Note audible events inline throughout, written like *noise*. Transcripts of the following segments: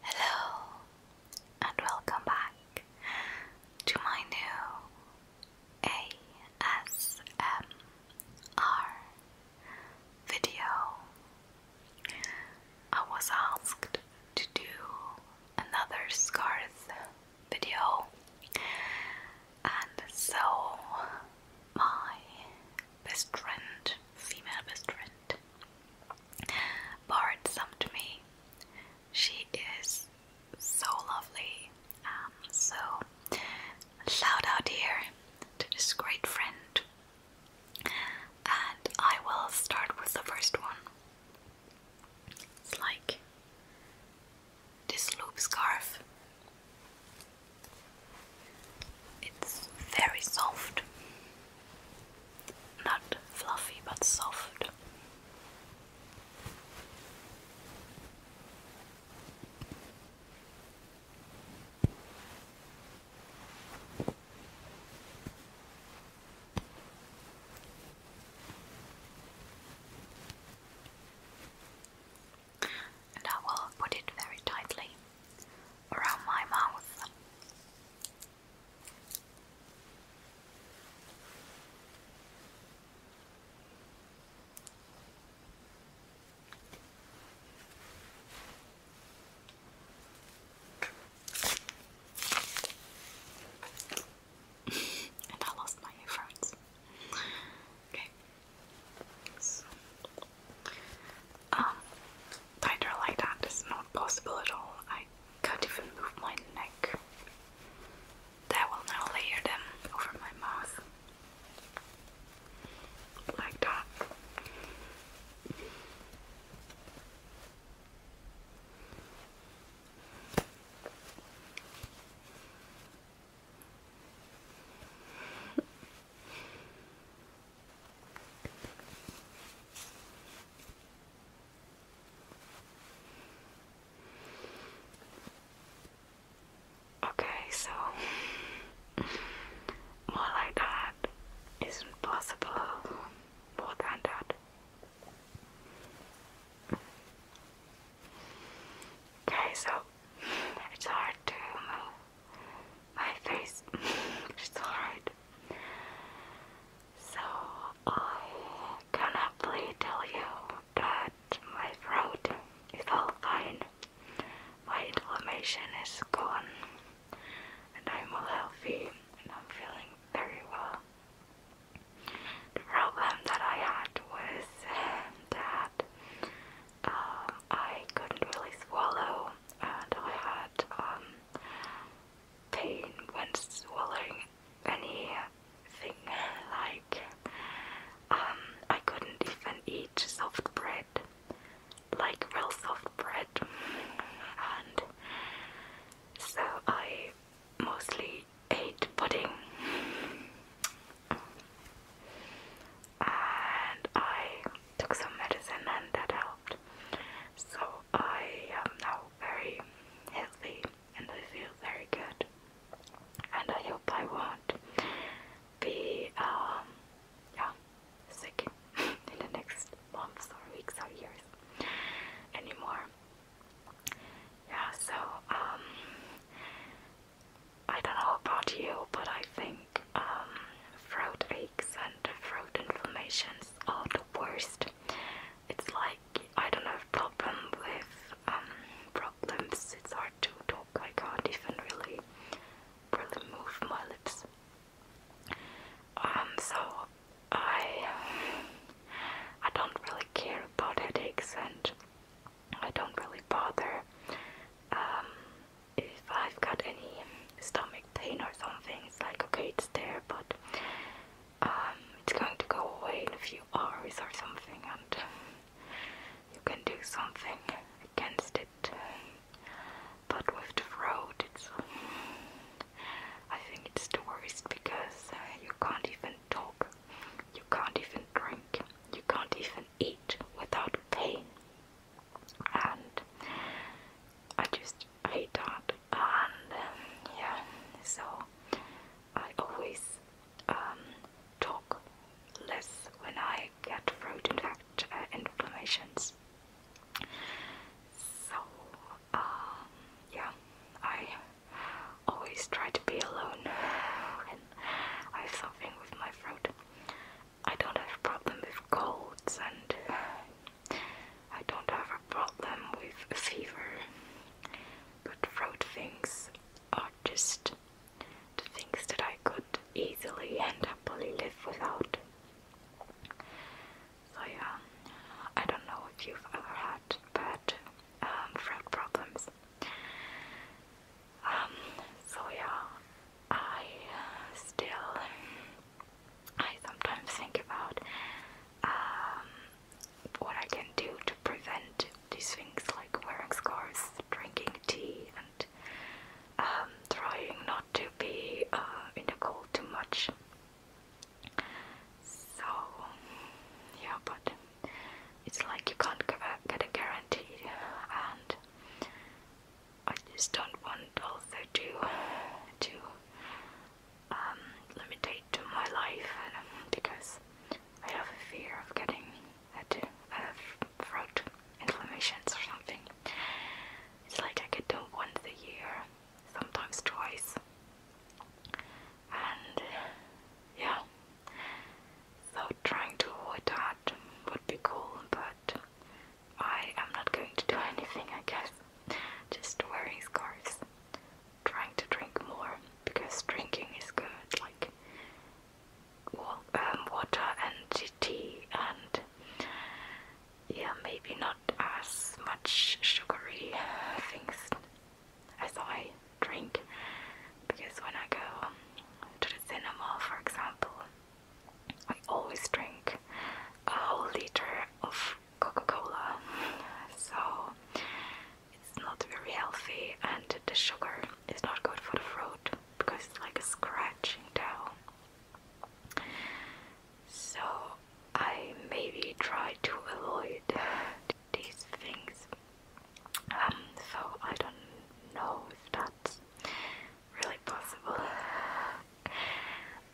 Hello and welcome back to my new ASMR video. I was asked to do another scarf video, and so my best friend, female best friend, borrowed some to me. She is so lovely. Um, so, shout out here to this great friend. And I will start with the first one. It's like this loop scarf. It's very soft. Not fluffy, but soft. And I will put it very tightly around my mouth. *laughs* and I lost my earphones. okay. Um, tighter like that is not possible at all. I can't even move my neck. That will now layer them over my mouth. Like that. Okay, so more like that isn't possible. More than Okay, so it's hard to my face. *laughs* it's alright. So I cannot really tell you that my throat is all fine. My inflammation is gone, and I'm all healthy, and I'm feeling very well. The problem that I had was uh, that um, I couldn't really swallow, and I had um, pain when swallowing anything. Like um, I couldn't even eat soft bread, like real soft bread, and so I mostly ate pudding and I took some medicine and that helped. So I am now very healthy and I feel very good. And I hope I won't be um, sick *laughs* in the next months or weeks or years anymore. Yeah, so um, I don't know about you, but I think um, throat aches and throat inflammations are the worst. It's like I don't have problem with um, problems. It's hard to talk. I can't even really really move my lips. Um, so I I don't really care about headaches and I don't really bother. Um, if I've got any um, stomach pain or something, it's like okay, it's there, but um, it's going to go away in a few hours or something, and um, you can do something against it. But with the road, it's I think it's the worst because uh, you can't even talk, you can't even drink, you can't even eat without pain and I just hate that and um, yeah so I always um, talk less when I get throat infect uh, inflammations so um, yeah I always try to be alone when I have something with my throat I don't have a problem with colds and uh, I don't have a problem with fever. But throat things are just the things that I could easily and happily live without. So yeah, I don't know if you've ever had bad um, throat problems. Um, so yeah, I still, I sometimes think about um, what I can do to prevent these things like wearing scarves, drinking tea, and um, trying not to be uh, in the cold too much. So, yeah, but it's like you can't get a guarantee, and I just don't want also to to um, limitate to my life and, um, because I have a fear of getting a, a throat inflammations or something. It's like I get them once a year, sometimes twice, and yeah, so trying to avoid that would be cool, but I am not going to do anything, I guess. Just wearing scarves. Trying to drink more, because drinking is good, like um, water and tea, and yeah, maybe not as much sugary uh, things as I drink. Because when I go to the cinema, for example, I always drink a whole liter of Coca-Cola, so it's not very healthy, and the sugar is not good for the throat because it's like a scratching down. So I maybe try to avoid these things. Um, so I don't know if not really possible.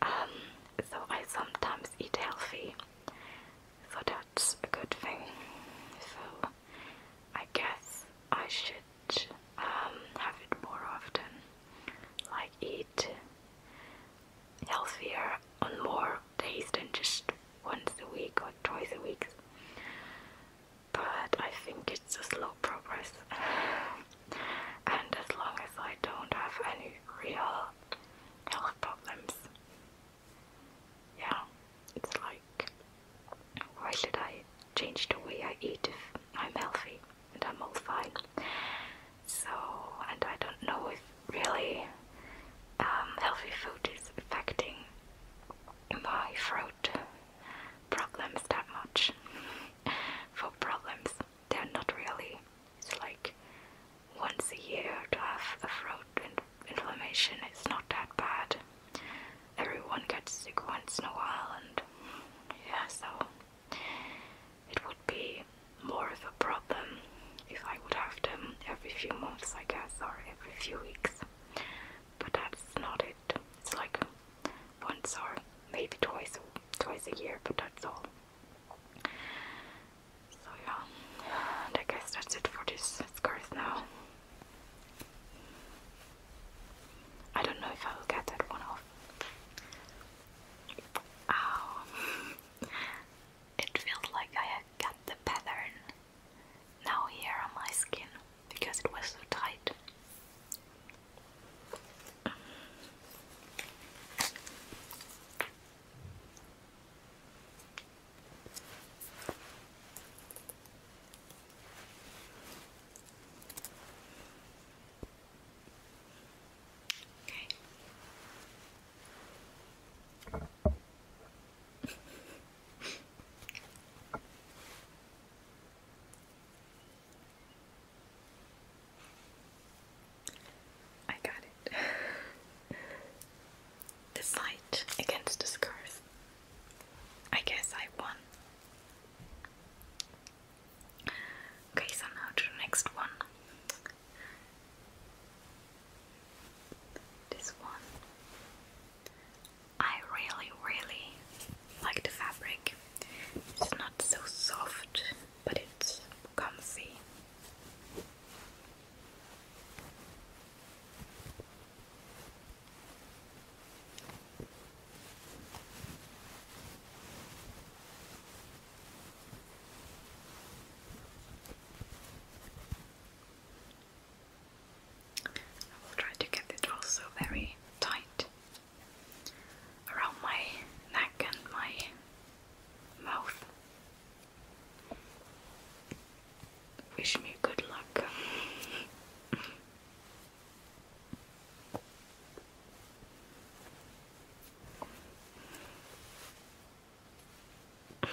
Um, so I sometimes eat healthy, so that's a good thing. So I guess I should um, have it more often, like eat healthier on more days than just once a week or twice a week but I think it's a slow progress. and as long as I don't have any real health problems, yeah, it's like why should I change the way I eat if I'm healthy and I'm all fine? So, and I don't know if really um, healthy food is affecting my throat problems that much. For problems, they're not really. It's like once a year to have a throat inflammation. It's not that bad. Everyone gets sick once in a while, and yeah, so it would be more of a problem if I would have them every few months, I guess, or every few weeks. But that's not it. It's like once or maybe twice twice a year, but that's all. So yeah, I guess that's it for this scarf now. I don't know if I will get that one off. Ah. *laughs* It feels like I got the pattern now here on my skin because it was so tight. Okay. *laughs* I got it. *laughs* the fight against the scars. I guess I won. Okay, so now to the next one. This one. I really, really like the fabric. It's not so soft, but it's comfy. I will try to get it also very tight around my neck and my mouth. Wish me good luck. *laughs*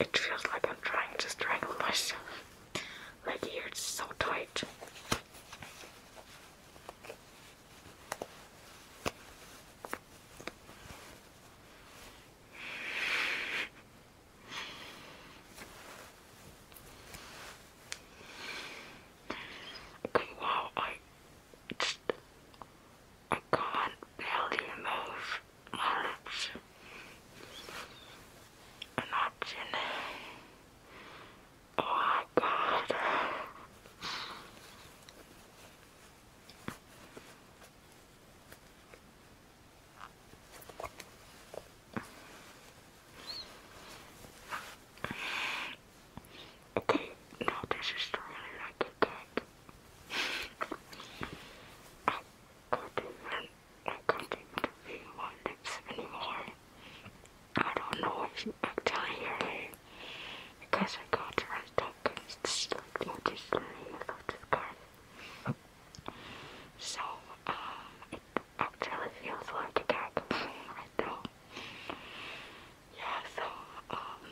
It feels like I'm trying to strangle myself. Like here, it's so tight. Okay, I just, I can't barely move my lips. I'm Oh my god. Okay, now this really like a cake. I can't even, I can't even feel my lips anymore. I don't know if you actually hear me because I can't really talk. It's like just really a lot of So, um, actually feels like a cat playing with Yeah, so, um,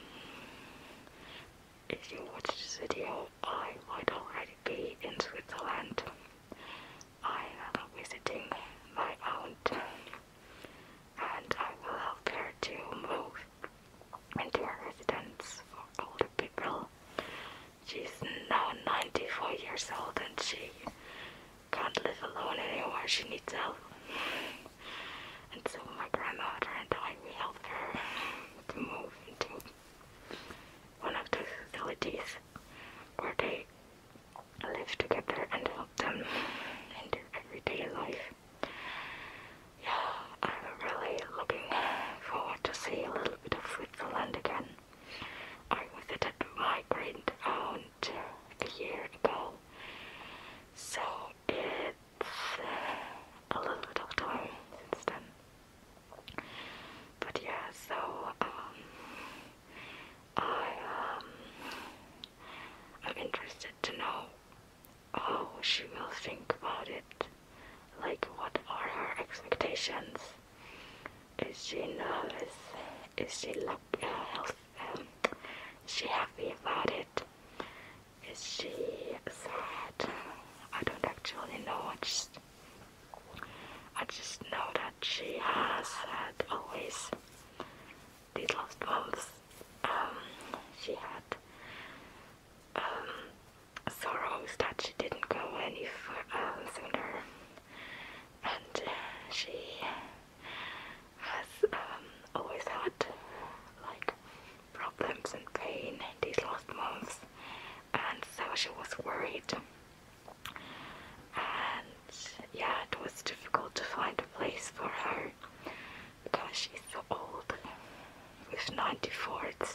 if you watch this video, I might already be in Switzerland. I am visiting my aunt, and I will help her to move into a residence for older people. She's now 94 years old and she can't live alone anymore. She needs help. And so my grandmother and I, we helped her to move into one of the facilities where they live together and help them in their everyday life. Yeah, I'm really looking forward to see a little bit of Switzerland again. I was a migrant a year ago, so it's uh, a little bit of time since then. But yeah, so um, I um, I'm interested to know how she will think about it. Like, what are her expectations? Is she nervous? Is she like uh, health? is she happy about it? Is she sad? I don't actually know. I just, I just know that she has had always these last months. Um, she had um, sorrows that she didn't go any further um, sooner and uh, she has um, always had like problems and pain these last months, and so she was worried. And yeah, it was difficult to find a place for her because she's so old. With 94, it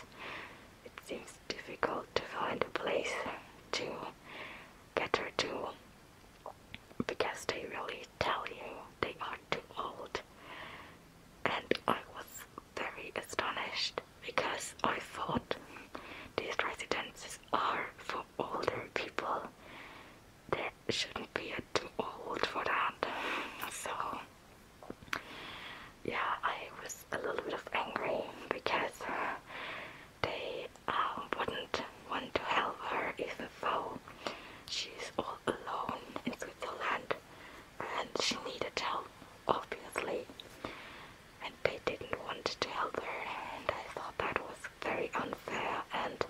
seems difficult to find a place to get her to because they really tell you they are too old. And I was very astonished because I thought these residences are for older people. There shouldn't be a too old for that. So yeah, I was a little bit of angry because uh, they um, wouldn't want to help her even though she's all alone in Switzerland and she needed help, obviously. And they didn't want to help her, and I thought that was very unfair and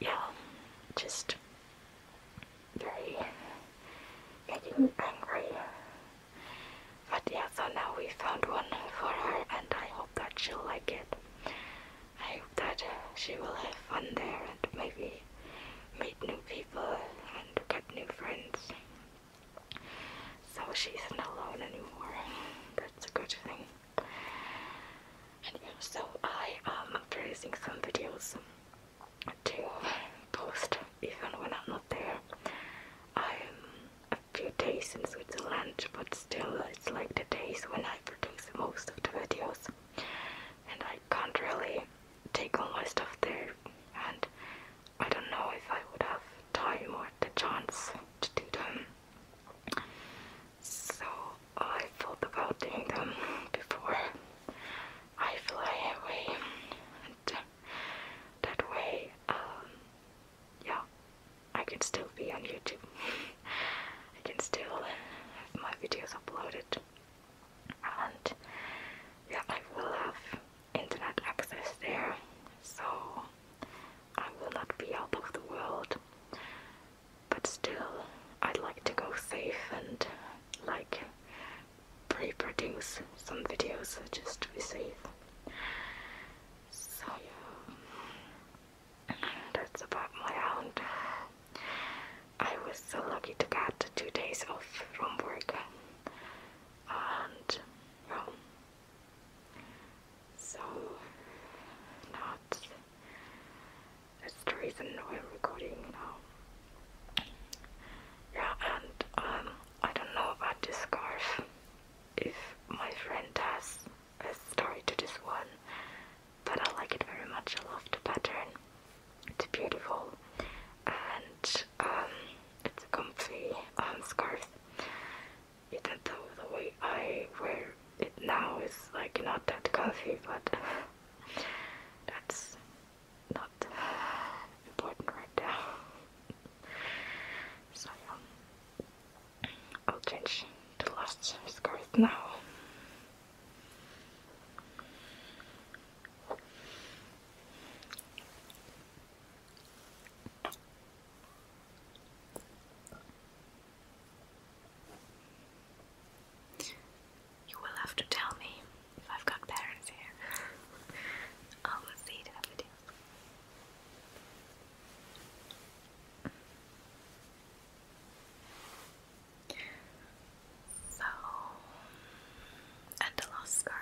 yeah, just very making me angry. But yeah, so now we found one for her and I hope that she'll like it. I hope that uh, she will have fun there and maybe meet new people and get new friends. So she's not alone anymore. That's a good thing. And yeah, so I am producing some videos to post even when I'm not there. I'm a few days in Switzerland, but still, it's like the days when I produce most of the videos, and I can't really take all my stuff there. And I don't know if I would have time or the chance to do them. So I thought about doing them before I fly away. And, uh, that way, um, yeah, I can still be on YouTube. *laughs* I can still have my videos uploaded, and yeah, I will have internet access there, so I will not be out of the world. But still, I'd like to go safe and like pre-produce some videos just to be safe. So yeah, that's about my round. I was so lucky to get two days off from work and yeah. So not that's the reason recording now. Yeah, and um, I don't know about this scarf. If my friend has a story to this one, but I like it very much. I love the pattern. It's beautiful and um, it's a comfy um, scarf. Even though the way I wear it now is like not that comfy, but *laughs* that's not important right now. so I'll change the last scarf now. You will have to tell me I've got parents here, *laughs* oh, I will see So, and the last scarf.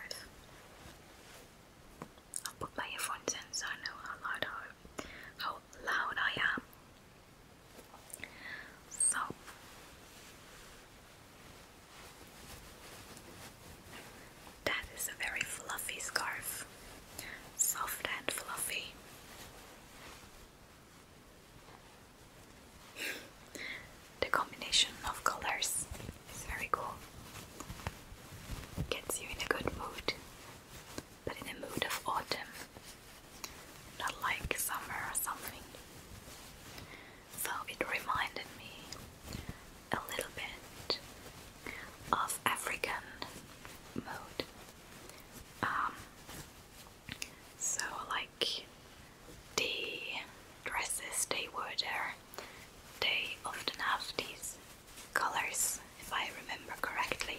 I'll put my earphones in so I know how loud, I, how loud I am. So, that is a very fluffy scarf, soft and fluffy. the combination of colors is very cool. Gets you in a good mood, but in a mood of autumn, not like summer or something. So it reminded me a little bit of African mode. Um, so, like the dresses they wore there, they often have these colors, if I remember correctly.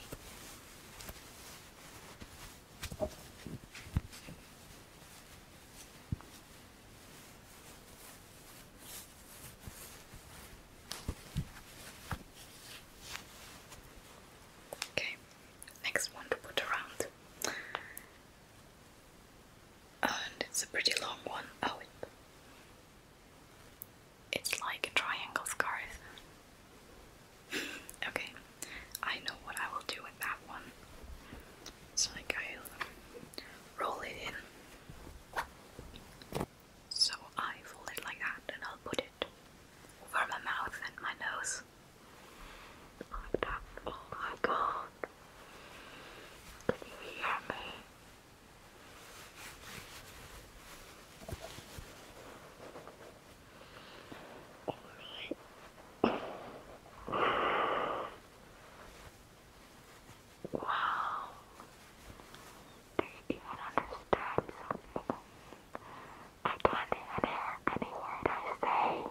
Okay, next one to put around. And it's a pretty long one. Oh, it's like triangle scarf. *laughs* okay, I know what I will do with that one. So like i roll it in. So I fold it like that and I'll put it over my mouth and my nose. Oh my god. Can you hear me? Alright. Wow. Do you understand something? I can't hear any I say.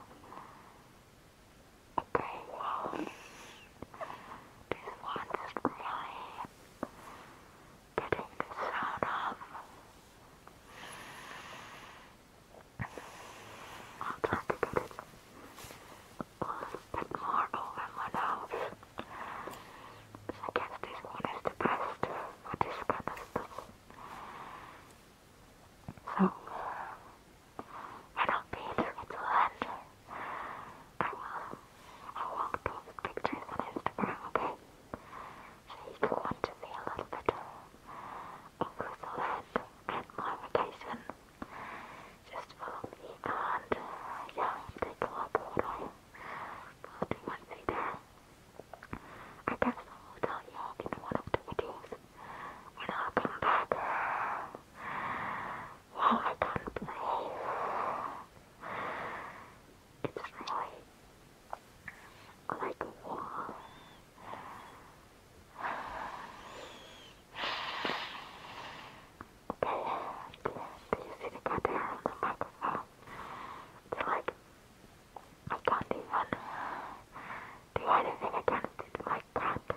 Okay, well, this one's really getting the sound off. I'll try to get it a bit more over my nose. I this one is the best for this kind of So, I don't need it to I will, I will post pictures on Instagram, okay? So if you to see a little bit of and my vacation, just follow me and uh, yeah, take a look what I put in my video. I guess I will tell you in one of the videos when I come back. Uh, well, I can't believe it's really like wow do you see the goddamn on the microphone? It's like, I can't even do anything against it. My cat is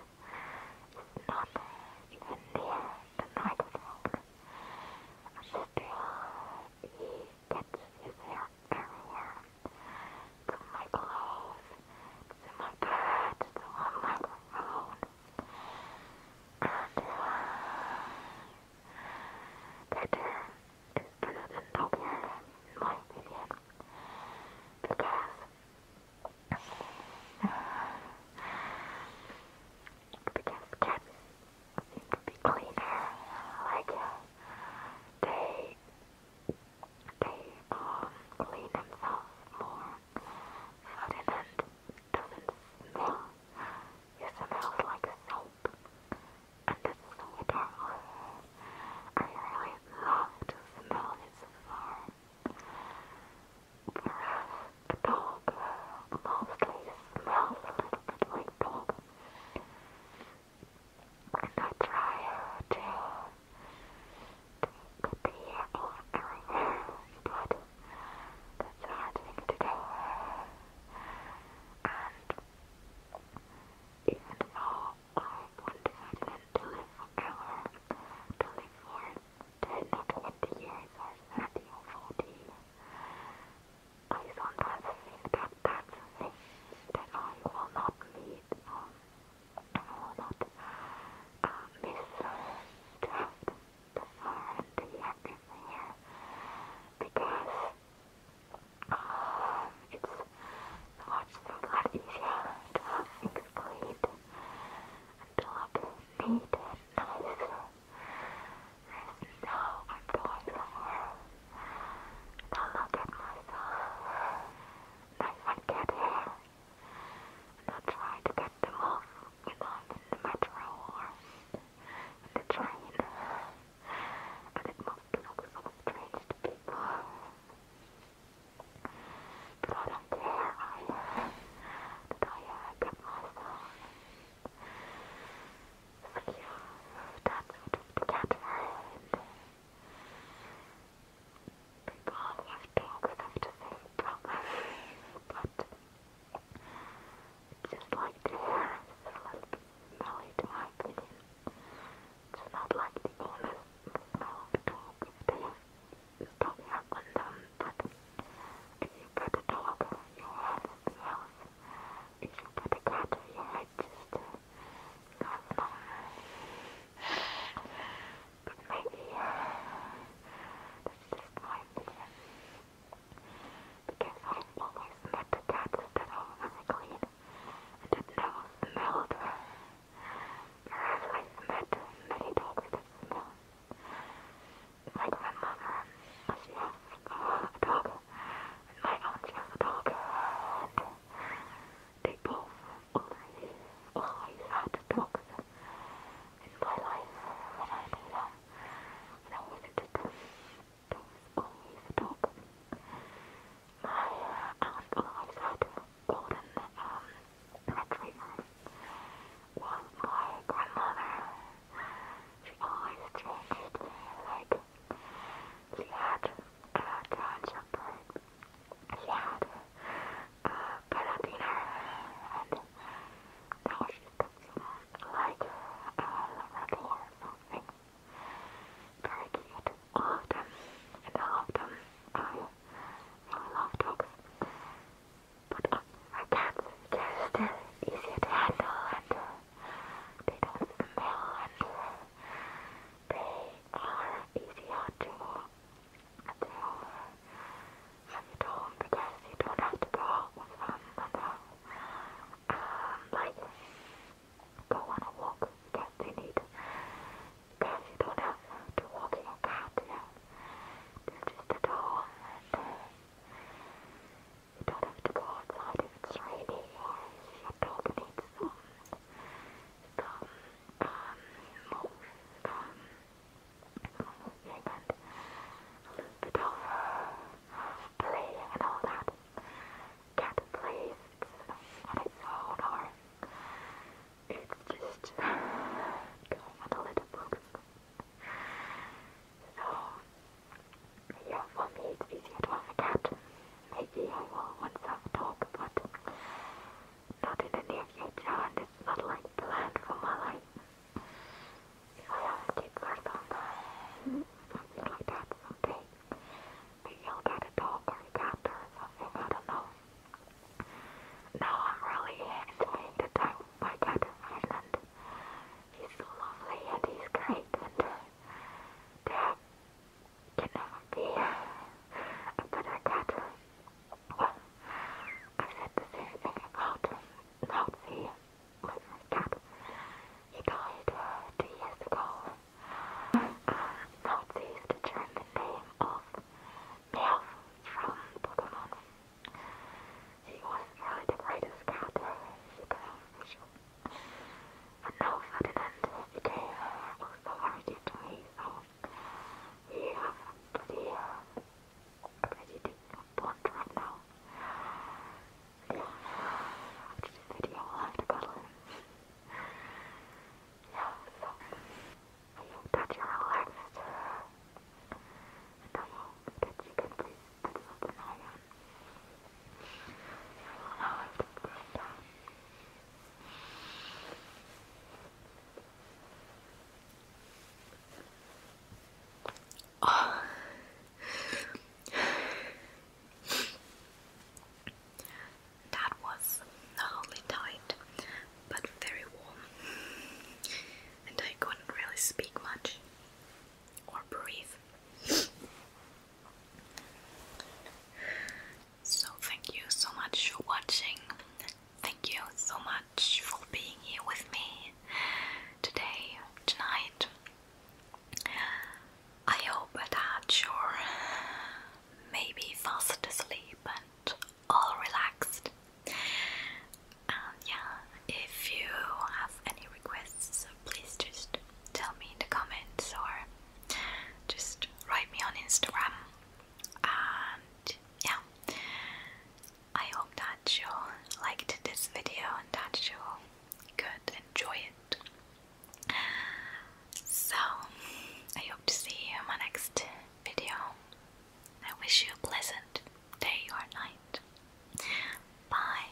not even near the microphone. I just he gets his hair everywhere to my clothes, to my bed, to on my phone. And uh, that uh, is better than double in my opinion. Because uh, because cats seem be cleaner, like they they um, clean himself more Ferdinand doesn't smell he smells like soap and it's so adorable I really love to smell his fur uh, the dog uh, mostly smells a little bit like dog and I try to take the year off but that's a to do. And even though I want to to live forever, to live for 10 or 20 years or 30 or 40, I sometimes think that that's a thing that I will not meet not uh, misunderstand the the X here because it's much so easier to have things cleaned and to I'm going somewhere to look at myself. I can get here. And I try to get them off, you know, in the metro or in the train. And it must look so strange to people. But I don't care. I, that I uh, get myself secure. That's what the cat People have dogs have the same but just like the hair is a little bit smelly to It's not like the owner smell of the dog if they dog but if you put a dog, you have smells. If you put a cat, you just but maybe Because i always met the cats that are very clean and that never smelled. I've met many dogs that smell. My grandmother, she a dog, my aunt, she has dog, they both always, had dogs in my life when I knew uh, them. When I visited them, um, there always a My aunt always had golden retrievers. my grandmother. She always changed like he had uh, drawings of birds. He had uh, Carabiner and that was just like a uh, or Very cute. All of them. And all them. I love dogs. But uh, I can easier to handle and they don't smell they are easier to to have at home because you don't have to go out with them and um, like go on a walk because they need because you don't have to walk in a car to them. they just at home you don't have to go outside if it's raining or if your dog needs little bit of playing and all that. Cat plays on its own or it's just a little book. So yeah, for me it's easier to have a cat maybe I will once have talk, but not in the near future, and it's not like planned for my life. If I have a kid something, like that someday, maybe I'll a dog or a cat or something, I don't know. Now I'm really enjoying the time my cat in Ireland. He's so lovely and he's great, and uh, they you know, the uh, but I well, I said the same thing about, He died two years ago. Nazi is the name of Meowth from Pokemon. He was really the greatest cat. For no Ferdinand became was the hereditary son. He has a pretty, uh, pretty decent blonde right now. Yeah, this video will have to cuddle yeah, so I hope that you're relaxed. And I hope that you can please put something on Oh. *sighs* That was not only tight but very warm, and I couldn't really speak much or breathe. So, thank you so much for watching. Thank you so much for being here with me today, tonight. I hope it had your maybe fast asleep and all relaxed. And yeah, if you have any requests, please just tell me in the comments or just write me on Instagram. And yeah, I hope that you liked this video and that you could enjoy it. So, I hope to see you in my next video. I wish you a pleasant day or night. Bye.